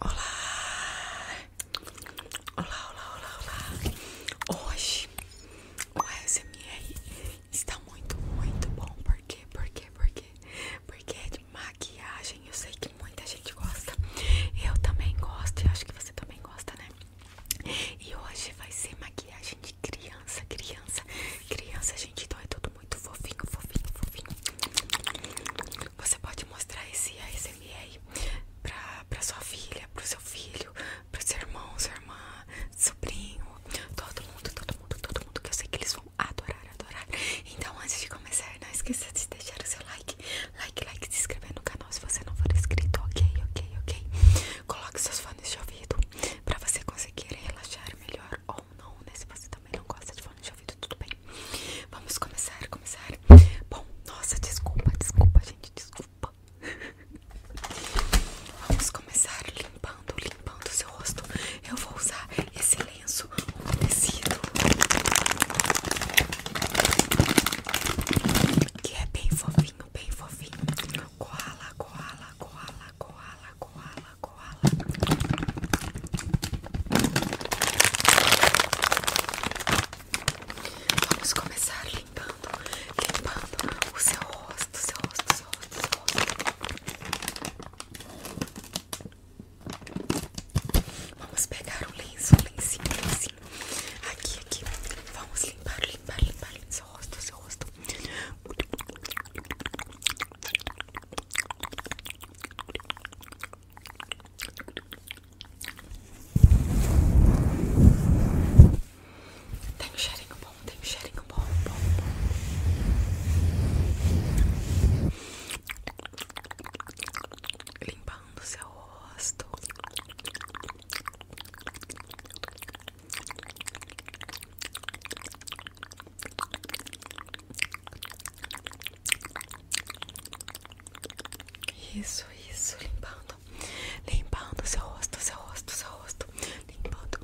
Olá! Olá, olá, olá, olá! Hoje o ASMR está muito, muito bom. Por quê? Por quê? Por quê? Porque é de maquiagem. Eu sei que muita gente gosta. Eu também gosto e acho que você também gosta, né? E hoje vai ser maquiagem de criança, criança, criança, gente. Então é tudo muito fofinho, fofinho, fofinho. Você pode mostrar esse ASMR pra, sua filha, pro seu filho, pro seu irmão, sua irmã, sobrinho, todo mundo, todo mundo, todo mundo, que eu sei que eles vão adorar, adorar. Então, antes de começar, não esqueça de deixar o seu like, like, like, se inscrever no canal se você não for inscrito, ok, ok, ok. Coloque seus fones de ouvido pra você conseguir relaxar melhor ou não, né? Se você também não gosta de fone de ouvido, tudo bem. Vamos começar, começar. Bom, nossa, desculpa, desculpa, gente, desculpa. Vamos começar limpando, limpando o seu rosto. Eu vou usar esse lenço tecido que é bem fofinho, bem fofinho. Koala, koala, koala, koala, koala, koala koala. Vamos começar limpando, limpando o seu rosto, seu rosto, seu rosto, seu rosto. Vamos pegar um lenço, o lencinho, o lencinho. Aqui, aqui. Vamos limpar, limpar, limpar, o seu rosto, seu rosto. Tem um bom, tem um cheirinho bom, bom, bom. Limpando seu rosto. Isso, isso, limpando, limpando seu rosto, seu rosto, seu rosto, limpando.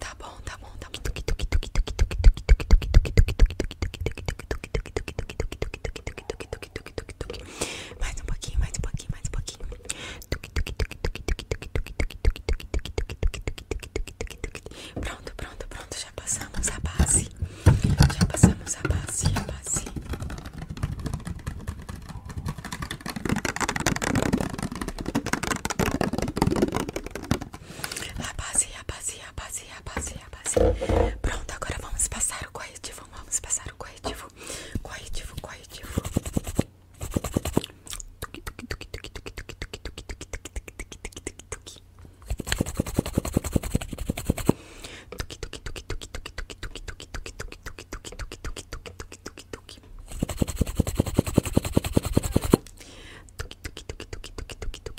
Tá bom, tá bom, tá bom tuque, tuque, tuque, tuque, tuque, tuque, tuque, tuque, tuque, tuque, tuque, tuque, mais um pouquinho, mais um pouquinho, mais um pouquinho, tuque, tuque, tuque, tuque, tuque, tuque, tuque, tuque, tuque, tuque, tuque, tuque, tuque, pronto, pronto, pronto, já passamos a base, já passamos a base, a base. A base, a base, a base, a base, Assim. pronto Agora vamos passar o corretivo. Vamos passar o corretivo. Corretivo, corretivo. Tuki, tuki, tuki, tuki, tuki, tuki,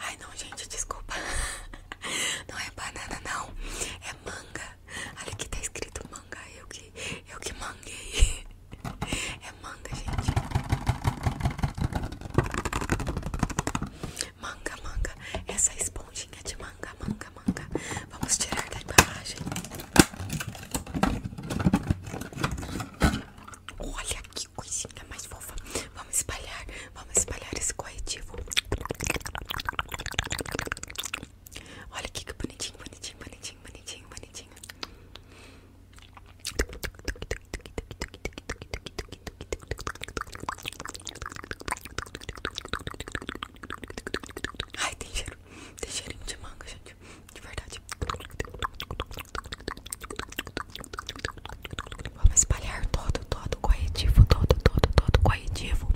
Ai não, gente, desculpa. Não é banana não, é manga. Olha que tá escrito manga, eu que eu que manguei. É manga, gente. Manga, manga. Essa esponjinha de manga, manga, manga. Vamos tirar da embalagem. Olha que coisinha mais fofa. Vamos espalhar, vamos espalhar esse corretivo. Olha que bonitinho, bonitinho, bonitinho, bonitinho, bonitinho. Ai, tem cheiro, tem cheirinho de manga, gente. De verdade. Vamos espalhar todo, todo corretivo, todo, todo, todo corretivo.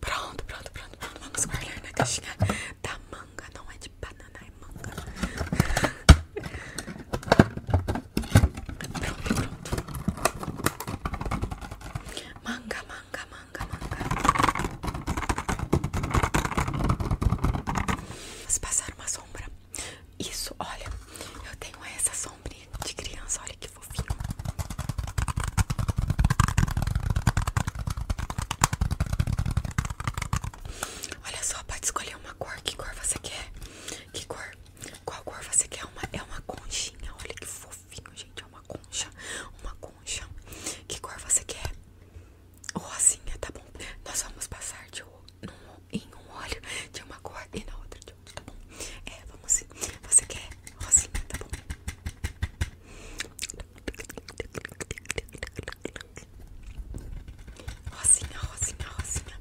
Pronto, pronto, pronto, pronto. Vamos espalhar na caixinha da manga, não é de banana, é manga. Pronto, pronto. Manga, manga, manga, manga. Vamos passar uma sombra. Isso, olha. Eu tenho essa sombrinha de criança. Olha que fofinho. Olha só, pode escolher uma cor. Que cor você quer? Que cor? Qual cor você quer? Uma, é uma conchinha. Olha que fofo fofinho, gente. É uma concha, uma concha. Que cor você quer? Rosinha, tá bom? Nós vamos passar de um, em um olho de uma cor e na outra de outra, tá bom? É, vamos sim. Você quer rosinha, tá bom? Rosinha, rosinha, rosinha.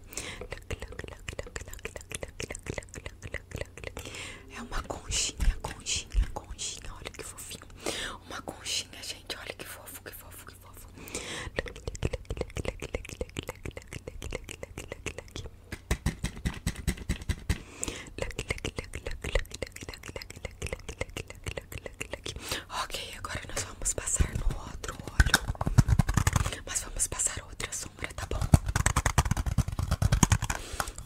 É uma conchinha, conchinha, conchinha. Olha que fofinho. Uma conchinha, gente. Olha que fofo, que fofo, que fofo. Ok, agora nós vamos passar no outro olho. Mas vamos passar outra, sombra, tá bom?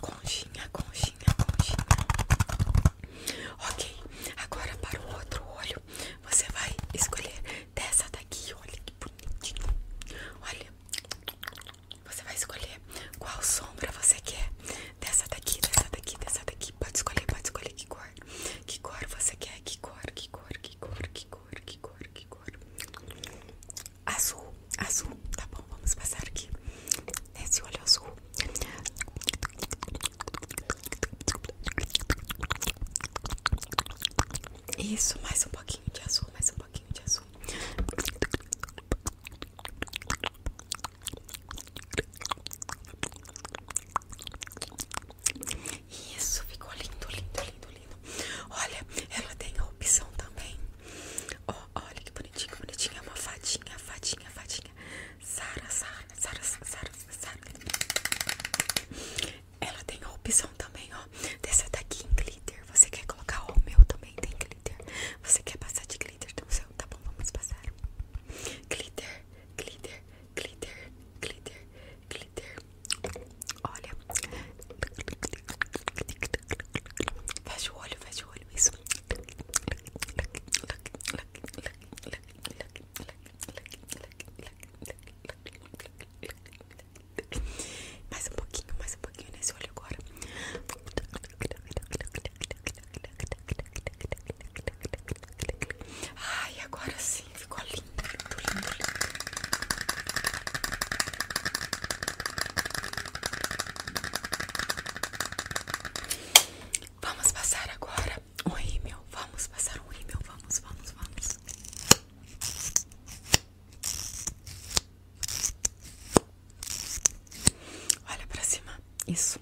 Conchinha, conchinha, conchinha. Ok, agora para o outro olho, você vai escolher dessa daqui. Olha que bonitinho. Olha, você vai escolher qual sombra você quer. Dessa daqui, dessa daqui, dessa daqui. Pode escolher, pode escolher que cor. Que cor você quer? Que cor, que cor, que cor, que cor, que cor, que cor azul, azul, tá bom, vamos passar aqui nesse olho azul Isso, mais um pouquinho de azul, mais um pouquinho de azul isso ficou lindo, lindo, lindo, lindo. Olha, ela tem a opção também. Oh, olha que bonitinho, bonitinho. É uma fadinha, fadinha, fadinha. Sara, Sara, Sara, Sara, Sara. Ela tem a opção também, ó. Dessa daqui em glitter. Você quer colocar o meu também? Tem glitter. Você quer passar de glitter no então seu? Tá bom, vamos passar. Glitter, glitter, glitter, glitter, glitter, Olha. Fecha o olho, fecha o olho. Isso. Mais um pouquinho, mais um pouquinho nesse olho agora. Ai, agora sim, ficou lindo lindo, lindo, lindo. Vamos passar agora o um rímel. Vamos passar um rímel. Vamos, vamos, vamos. Olha pra cima. Isso.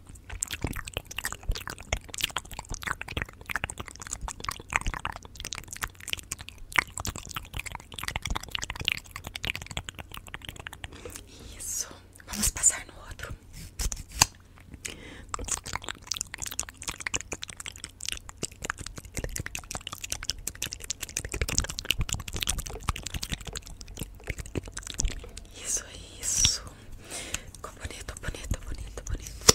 Isso, vamos passar no outro. Isso, é isso. Ficou bonito, bonito, bonito, bonito.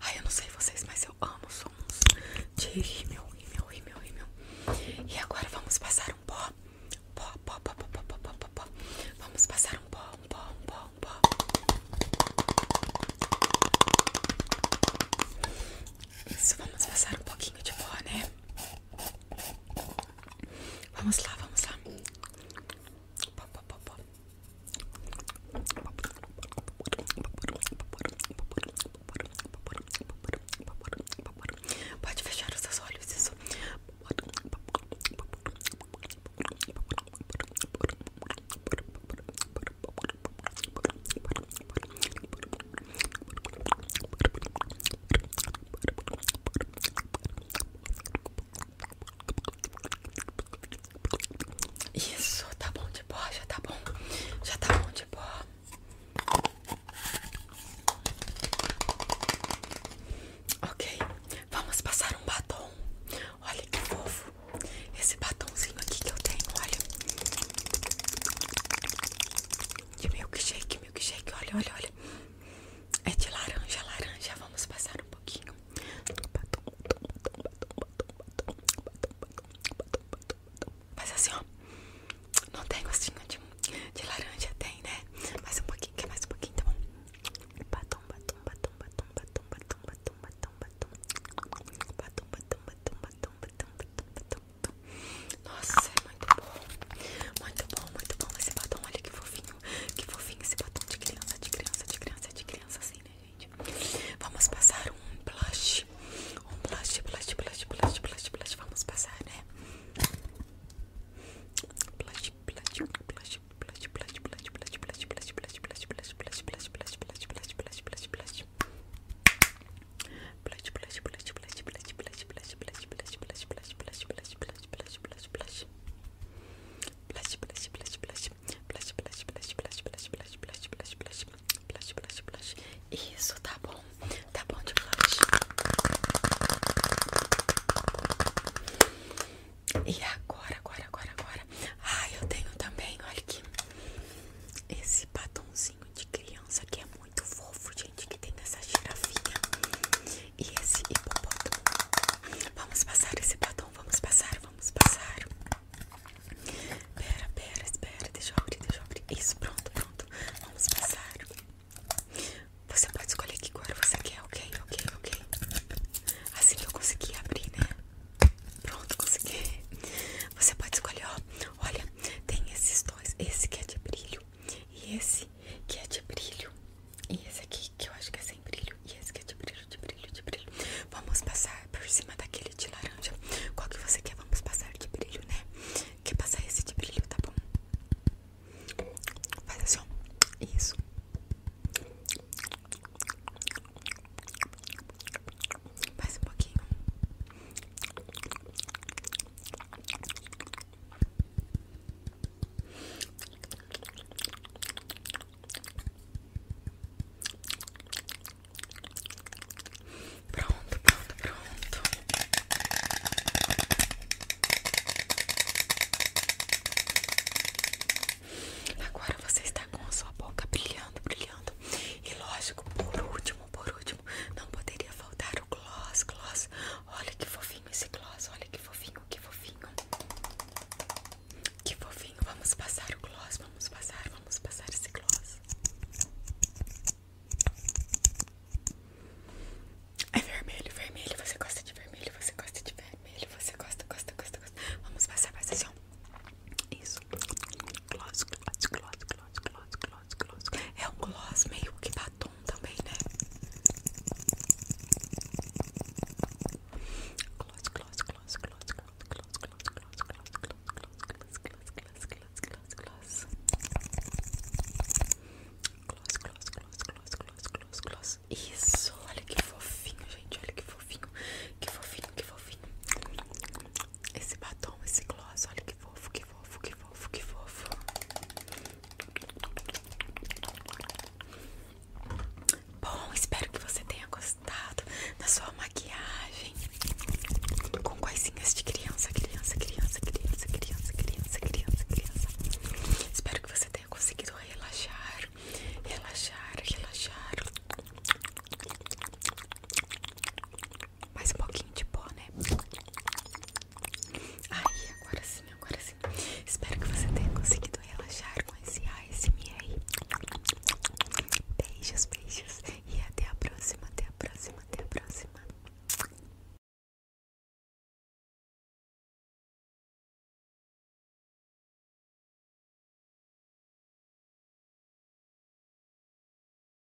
Ai, eu não sei vocês, mas eu amo sons de rímel, rímel, rímel, rímel. E agora vamos passar um pó. Pó, pó, pó, pó, pó, pó, pó, pó. Vamos passar um pó, um pó, um pó, um pó. Isso, vamos passar um pouquinho de pó, né? Vamos lá, vamos lá. Pode fechar os seus olhos, isso. Isso, tá bom de pó, já tá bom. Já tá bom de pó. Ok, vamos passar um batom. Olha que fofo. Esse batomzinho aqui que eu tenho, olha. De milkshake esse milkshake, olha, olha, olha. É de laranja, laranja. Vamos passar um pouquinho. Mas assim, ó. Não tem gostinho de, laranja, tem, né? Mais um pouquinho, mais um pouquinho, tá bom? Nossa, é muito bom. Muito bom, muito bom esse batom. Olha que fofinho, que fofinho esse batom de criança, de criança, de criança, de criança, assim, né, gente? Vamos passar um blush. Um blush, blush, blush, blush, blush, blush. Vamos passar, né? Blush, blush, blush, blush, blush, blush, blush, blush, blush, blush, blush, blush, blush, blush, blush, blush, blush, blush, blush. Blush, blush, blush, blush, blush, blush, blush, blush, blush, blush, blush, blush, blush, blush, blush, blush, blush. Blush, blush, blush, blush. Blush, blush, blush, blush, blush, blush, blush, blush, blush. Blush, blush, blush. Isso, tá bom. Tá bom de blush. E agora, agora, agora, agora. Ah, eu tenho também, olha aqui. Esse batonzinho de criança que é muito fofo, gente, que tem nessa girafinha e esse hipopótamo. Vamos passar esse batom, vamos passar, vamos passar. Pera, pera, espera, deixa eu abrir, deixa eu abrir. Isso, pronto, pronto. Vamos passar. Você pode escolher que cor você quer, ok, ok, ok. Assim que eu consegui abrir, né? Pronto, consegui. Você pode escolher, ó. Olha, tem esses dois. Esse que é de brilho. E esse que é de brilho. E esse aqui que eu acho que é sem brilho. E esse que é de brilho, de brilho, de brilho. Vamos passar por cima daquele de laranja. Qual que você quer? Vamos passar de brilho, né? Quer passar esse de brilho, tá bom? Faz assim, Isso. Mais um pouquinho. Pronto, pronto, pronto. Agora você está com a sua boca brilhando, brilhando. E lógico, por último, por último, não poderia faltar o gloss, gloss. Olha que fofinho esse gloss, olha que fofinho, que fofinho. Que fofinho, vamos passar o gloss, vamos passar, vamos passar esse gloss. É vermelho, vermelho, você gosta de vermelho, você gosta de vermelho, você gosta, gosta, gosta, gosta. Vamos passar, passar Isso gloss, gloss, gloss, gloss, gloss, gloss, gloss. É o gloss meio que batom também, né? Gloss, gloss, gloss, gloss, gloss, gloss, gloss, gloss, gloss, gloss, gloss, gloss, gloss, gloss, gloss. Gloss, gloss, gloss, gloss, gloss, gloss, gloss. Isso, olha que fofinho, gente, olha que fofinho, que fofinho, que fofinho esse batom, esse gloss, olha que fofo, que fofo, que fofo, que fofo. Bom, espero que você tenha gostado da sua maquiagem com coisinhas de criança, criança, criança, criança, criança, criança, criança, criança. Espero que você tenha conseguido relaxar, relaxar, relaxar mais um pouquinho de pó, né? Aí, agora sim, agora sim. Espero que você tenha conseguido relaxar com esse esse, ASMR. Beijos, beijos. E até a próxima, até a próxima, até a próxima.